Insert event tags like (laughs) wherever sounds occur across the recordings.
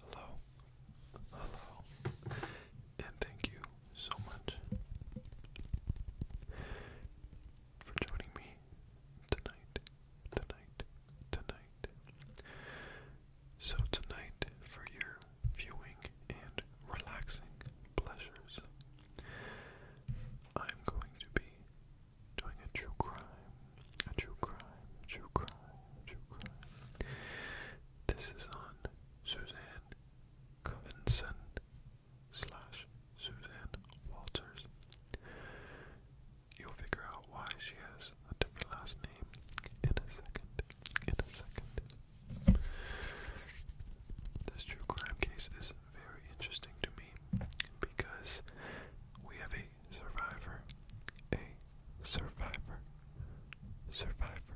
Hello, hello, and thank you so much for joining me tonight, tonight, tonight. So, tonight, for your viewing and relaxing pleasures, I'm going to be doing a true crime, a true crime, true crime, true crime. This is on Suzanne Covinson slash Suzanne Walters. You'll figure out why she has a different last name in a second. In a second. This true crime case very interesting to me because we have a survivor, a survivor, survivor.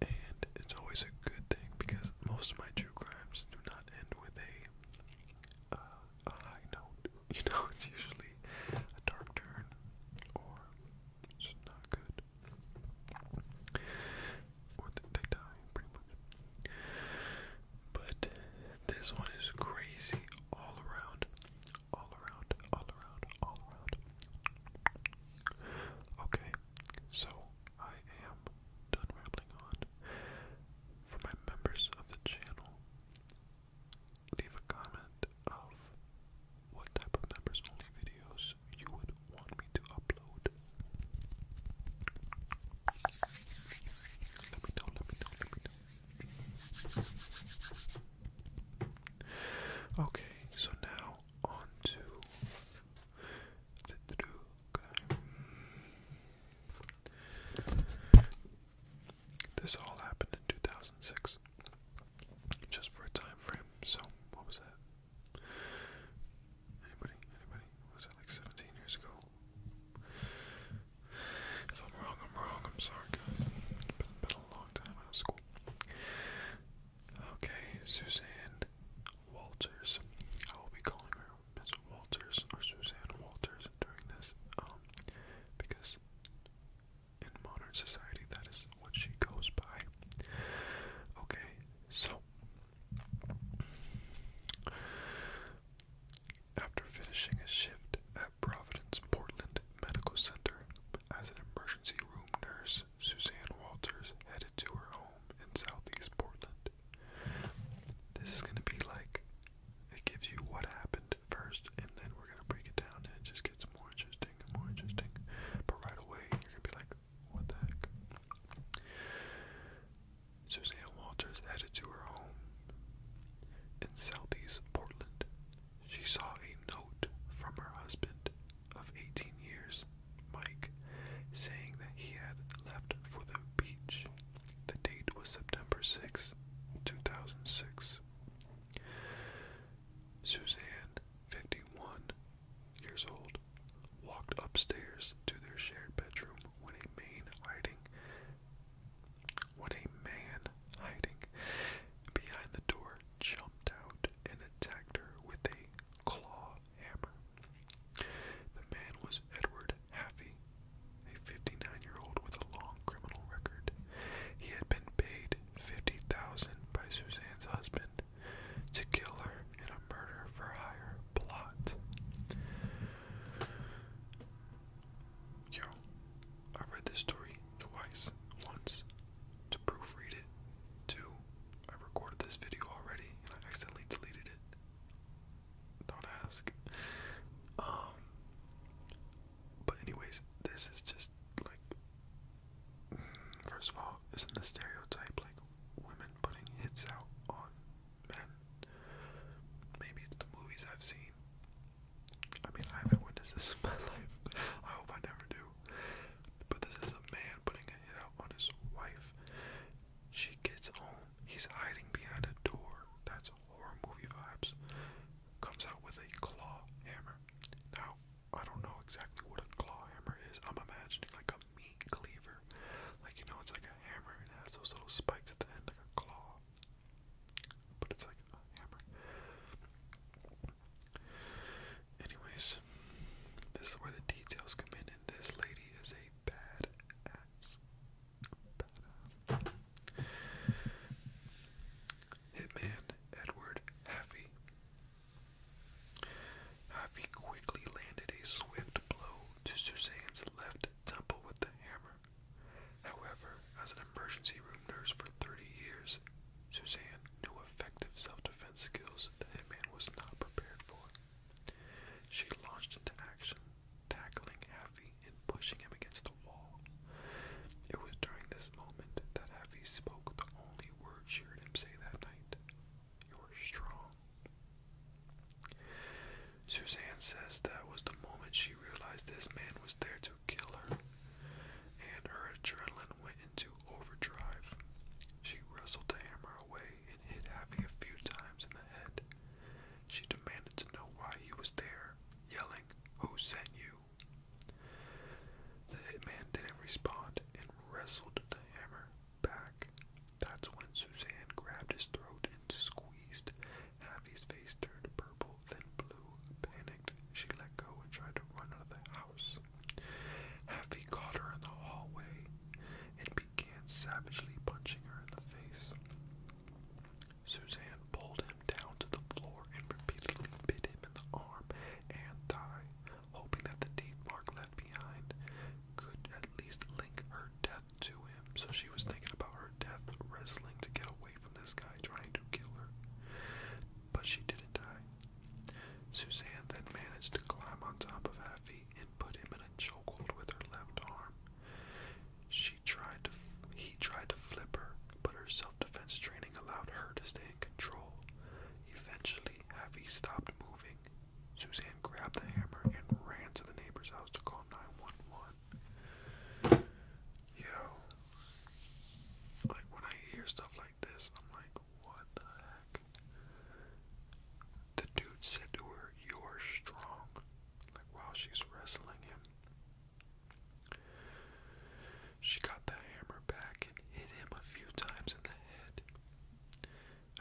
And it's always a good thing because most of my true crimes do not end with a, uh, a high note. (laughs) You know, it's usually a dark turn or it's not good or they die pretty much. But this one is crazy all around, all around, all around, all around. Okay, so I am done rambling on. For my members of the channel, leave a comment of what type of members only videos you would want me to upload. Let me know, let me know, let me know. Okay, so now on to the do This all happened in 2006, just for a time frame. So, what was that? Anybody? Anybody? Was that like 17 years ago? If I'm wrong, I'm wrong. I'm sorry, guys. It's been, a long time out of school. Okay, Suzanne Walters. I will be calling her Miss Walters or Suzanne Walters during this, um, because in modern society that is what she goes by. Okay, so after finishing his shift at Providence Portland Medical Center as an emergency room nurse, Suzanne Walters headed to her home in southeast Portland. This is going to be like it gives you what happened first, and then we're going to break it down, and it just gets more interesting and more interesting. But right away, you're going to be like, Suzanne Walters headed to her home in southeast Portland. She saw a note from her husband of 18 years, Mike, saying that he had left for the beach. The date was September 6, 2006. Suzanne, 51, years old, walked upstairs to their shared bedroom when a man hiding when a man hiding behind the door jumped out and attacked her with a claw hammer. The man was Edward Haffey, a 59-year-old with a long criminal record. He had been paid 50,000 by Suzanne's husband to kill her in a murder for hire plot. Yo, I read this story twice. Once to proofread it. Two, I recorded this video already and I accidentally deleted it. Don't ask. Um but anyways, this is just like first of all, isn't the stereotype like women putting hits out on men. Maybe it's the movies I've seen. I mean, I haven't witnessed this (laughs) in my life. I hope I never do. But this is a man putting a hit out on his wife. She gets home. He's hiding behind a door. That's horror movie vibes. Comes out with a claw hammer. Now, I don't know exactly what a claw hammer is. I'm imagining like a meat cleaver. Like, you know, it's like a hammer and has those little spikes at the end, like a claw. But it's like a hammer. Anyways, this is where the details come in, and this lady is a bad ass. Hitman Edward Haffey. Ivy quickly landed a swift blow to Suzanne's left temple with the hammer. However, as an emergency room nurse for 30 years, Suzanne knew effective self-defense skills the hitman was not prepared for. She launched into action, tackling Haffy and pushing him against the wall. It was during this moment that Haffy spoke the only word she heard him say that night. You're strong. Suzanne says that was the moment she realized this man was there to kill her, and her adrenaline went into overdrive. She wrestled the hammer away and hit Happy a few times in the head. She demanded to know why he was there, yelling, Who sent you? The hitman didn't respond and wrestled the hammer back. That's when Suzanne grabbed his throat and squeezed. Happy's face turned purple, then blue. Panicked, she let go and tried to run out of the house. Happy caught her in the hallway and began savagely punching her in the face. Suzanne pulled him down to the floor and repeatedly bit him in the arm and thigh, hoping that the teeth mark left behind could at least link her death to him. So she was thinking about her death, wrestling to get away from this guy trying to kill her. But she didn't die. Suzanne then managed to climb on top of Haffy and put him in a chokehold with her left arm. She tried to, he tried to flip her, but her self-defense training allowed her to stay in control. Eventually, Haffy stopped moving Suzanne grabbed the hammer and ran to the neighbor's house to call 911. Yo, like when I hear stuff like this, I'm like, what the heck? The dude said to her, You're strong. Like while she's wrestling him. She got the hammer back and hit him a few times in the head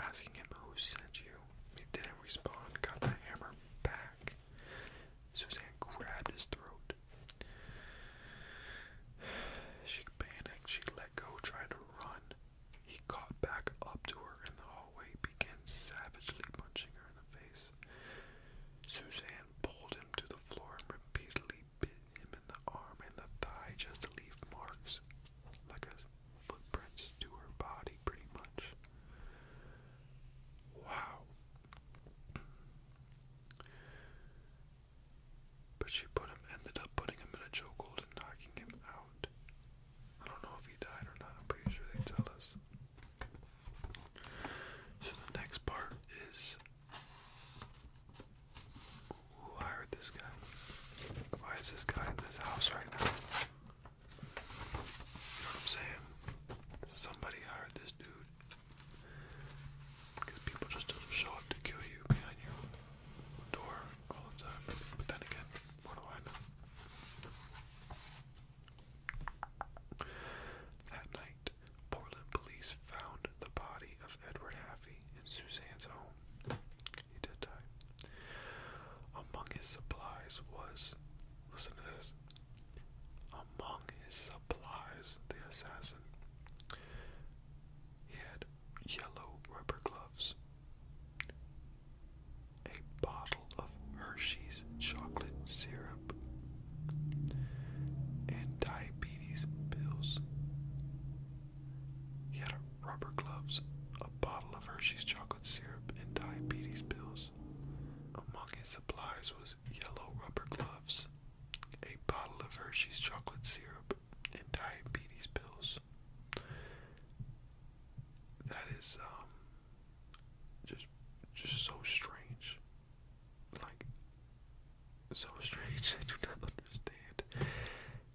asking him who sent you. He didn't respond, got the hammer back. Suzanne grabbed his throat. (sighs) She panicked, she let go, trying to run. He caught back up to her in the hallway, began savagely punching her in the face. Suzanne pulled him to the floor and repeatedly bit him in the arm and the thigh just to leave marks, like a footprints to her body, pretty much. Wow. But she put him, ended up putting him in a chokehold and knocking him out. I don't know if he died or not. I'm pretty sure they tell us. So the next part is who hired this guy? Why is this guy in this house right now? You know what I'm saying? Somebody hired this dude. Because people just don't show up to kill you behind your door all the time. But then again, what do That night, Portland police found the body of Edward Haffey in Suzanne's home. He did die. Among his supplies was, listen to this, among his supplies, the assassin. He had yellow rubber gloves, a bottle of Hershey's chocolate syrup, and diabetes pills. He had rubber gloves, a bottle of Hershey's chocolate syrup, and diabetes pills. Among his supplies was yellow rubber gloves, a bottle of Hershey's chocolate syrup, and diabetes pills. That is um just just so strange. Like so strange. (laughs) I do not understand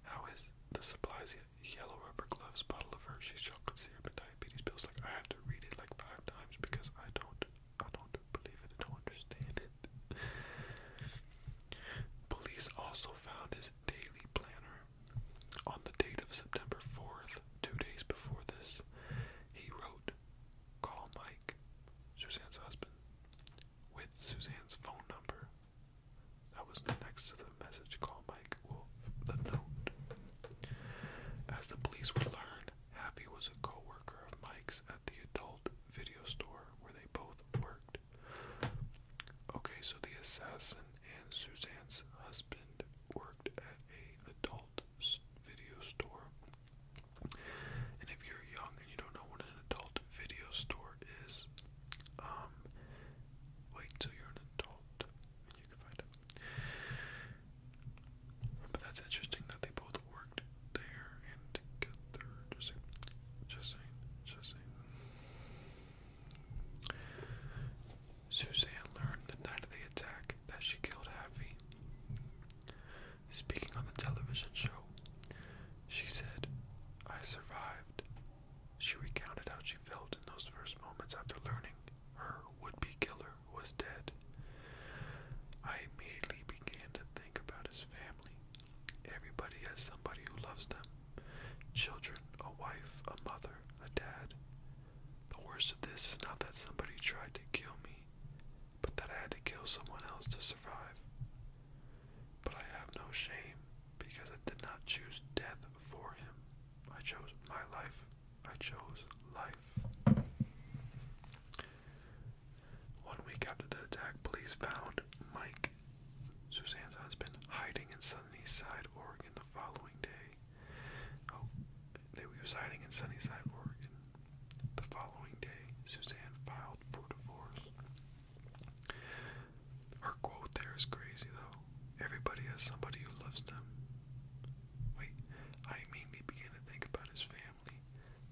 how is the supplies he yellow rubber gloves, bottle of Hershey's chocolate syrup, and diabetes pills. Like I have to read it like five times because I don't, I don't believe it. I don't understand Police also found his daily planner on the date of September 4th, two days before this. He wrote, "Call Mike, Suzanne's husband," with Suzanne's phone number that was next to the message call Mike, well, the note. As the police would learn, Happy was a co of Mike's at the adult video store where they both worked. Okay, so the assassin and Suzanne's husband worked at a adult video store. And if you're young and you don't know what an adult video store is, um, wait till you're an adult and you can find out. But that's interesting that they both worked there and together. Just saying. Just saying. Suzanne learned the night of the attack that she killed Happy. Speaking on the television show, she said, I survived. She recounted how she felt in those first moments after learning her would be killer was dead. I immediately began to think about his family. Everybody has somebody who loves them children, a wife, a mother, a dad. The worst of this is not that somebody tried to kill me, but that I had to kill someone else to survive. But I have no shame because I did not choose death for him. I chose my life. I chose life. One week after the attack, police found Mike, Suzanne's husband, hiding in Sunnyside, Oregon the following day. Oh, they were hiding in Sunnyside, Oregon. The following day, Suzanne filed for divorce. Her quote there is crazy though. Everybody has somebody who loves them. Wait, I immediately began to think about his family.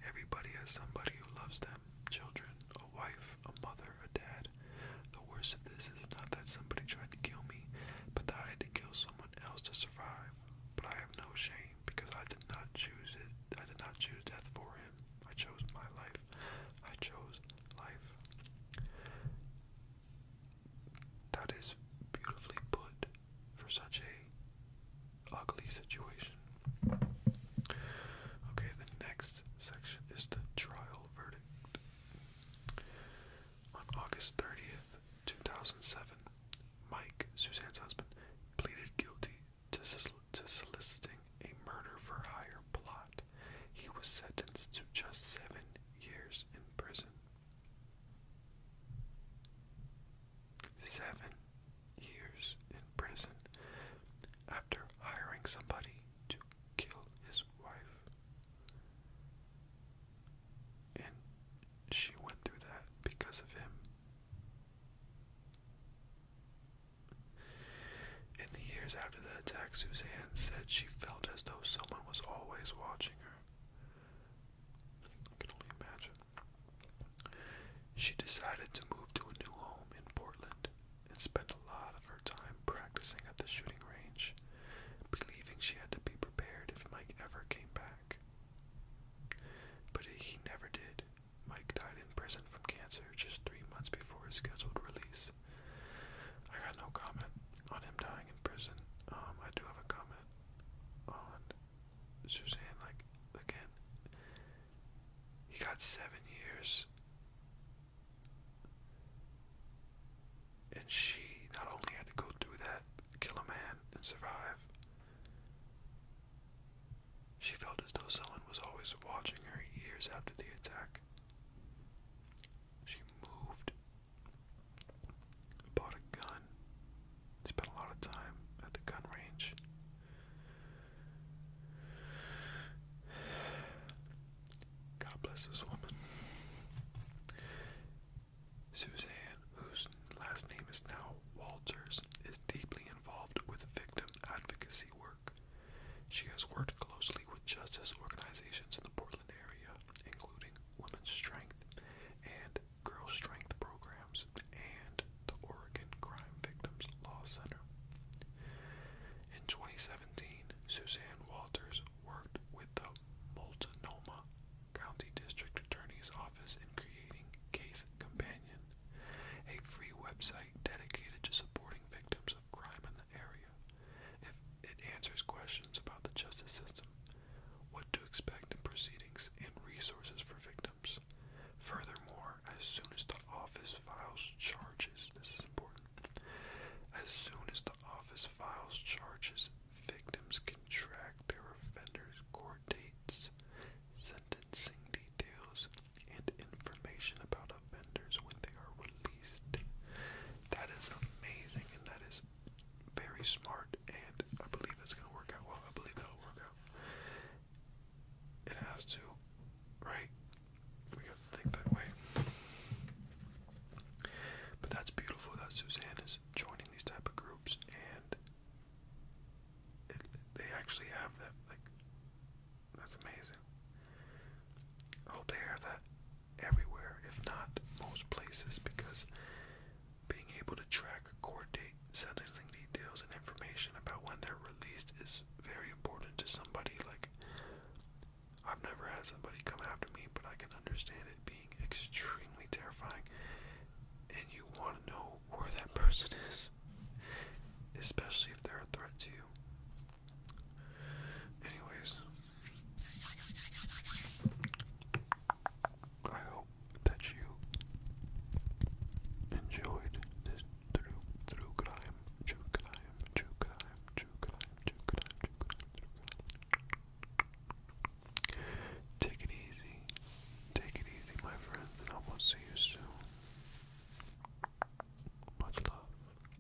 Everybody has somebody who loves them. Children, a wife, a mother, a dad. The worst of this is not that somebody tried to kill me, but that I had to kill someone else to survive. But I have no shame because I did not choose it. I did not choose death for him. I chose my life. I chose life. That is beautifully put for such a ugly situation. Okay, the next section is the trial verdict. On August 30th, 2007, Mike, Suzanne's husband, pleaded guilty to soliciting a murder for hire plot he was sentenced to just seven years in prison. Seven years in prison after hiring somebody to kill his wife. And she went through that because of him. In the years after the attack, Suzanne said she felt as though someone was always watching her. I can only imagine. She decided to move to a new home in Portland and spent a lot of her time practicing at the shooting range, believing she had to be prepared if Mike ever came back. But he never did. Mike died in prison from cancer just three months before his scheduled release. I got no comment on him dying in prison. Um, I do have a comment on Suzanne. Like again, he got seven years, and she not only had to go through that, kill a man, and survive. She felt as though someone was always watching her years after the attack. She moved, bought a gun, spent a lot of time at the gun range. God bless this woman. Suzanne, whose last name is now Walters, is deeply involved with victim advocacy work. She has worked closely with justice organizations in the Portland area, including Women's Strength and Girl Strength programs and the Oregon Crime Victims Law Center. In 2017, Suzanne Walters worked with the Multnomah County District Attorney's Office in creating Case Companion, a free website dedicated to supporting victims of crime in the area. If it answers questions about the justice system, what to expect in proceedings, and resources for victims. Furthermore, as soon as the office files charges, this is important, as soon as the office files charges, victims can track their offenders' court dates, sentencing details, and information about amount when they are released. That is amazing and that is very smart and I believe it's gonna work out well. I believe that'll work out. It has to, right? We gotta think that way. But that's beautiful that Suzanne is joining these type of groups and they actually have that like that's amazing. hope they have that everywhere, if not most places, because being able to track court date, sentencing details, and information about when they're released is very important to somebody. Like, I've never had somebody come after me, but I can understand it being extremely terrifying, and you want to know where that person is, especially if they're a threat to you. Anyways, I hope that you enjoyed this through through crime, true crime, true crime, true crime, true crime, true crime. Take it easy, take it easy, my friends, and I will see you soon. Much love.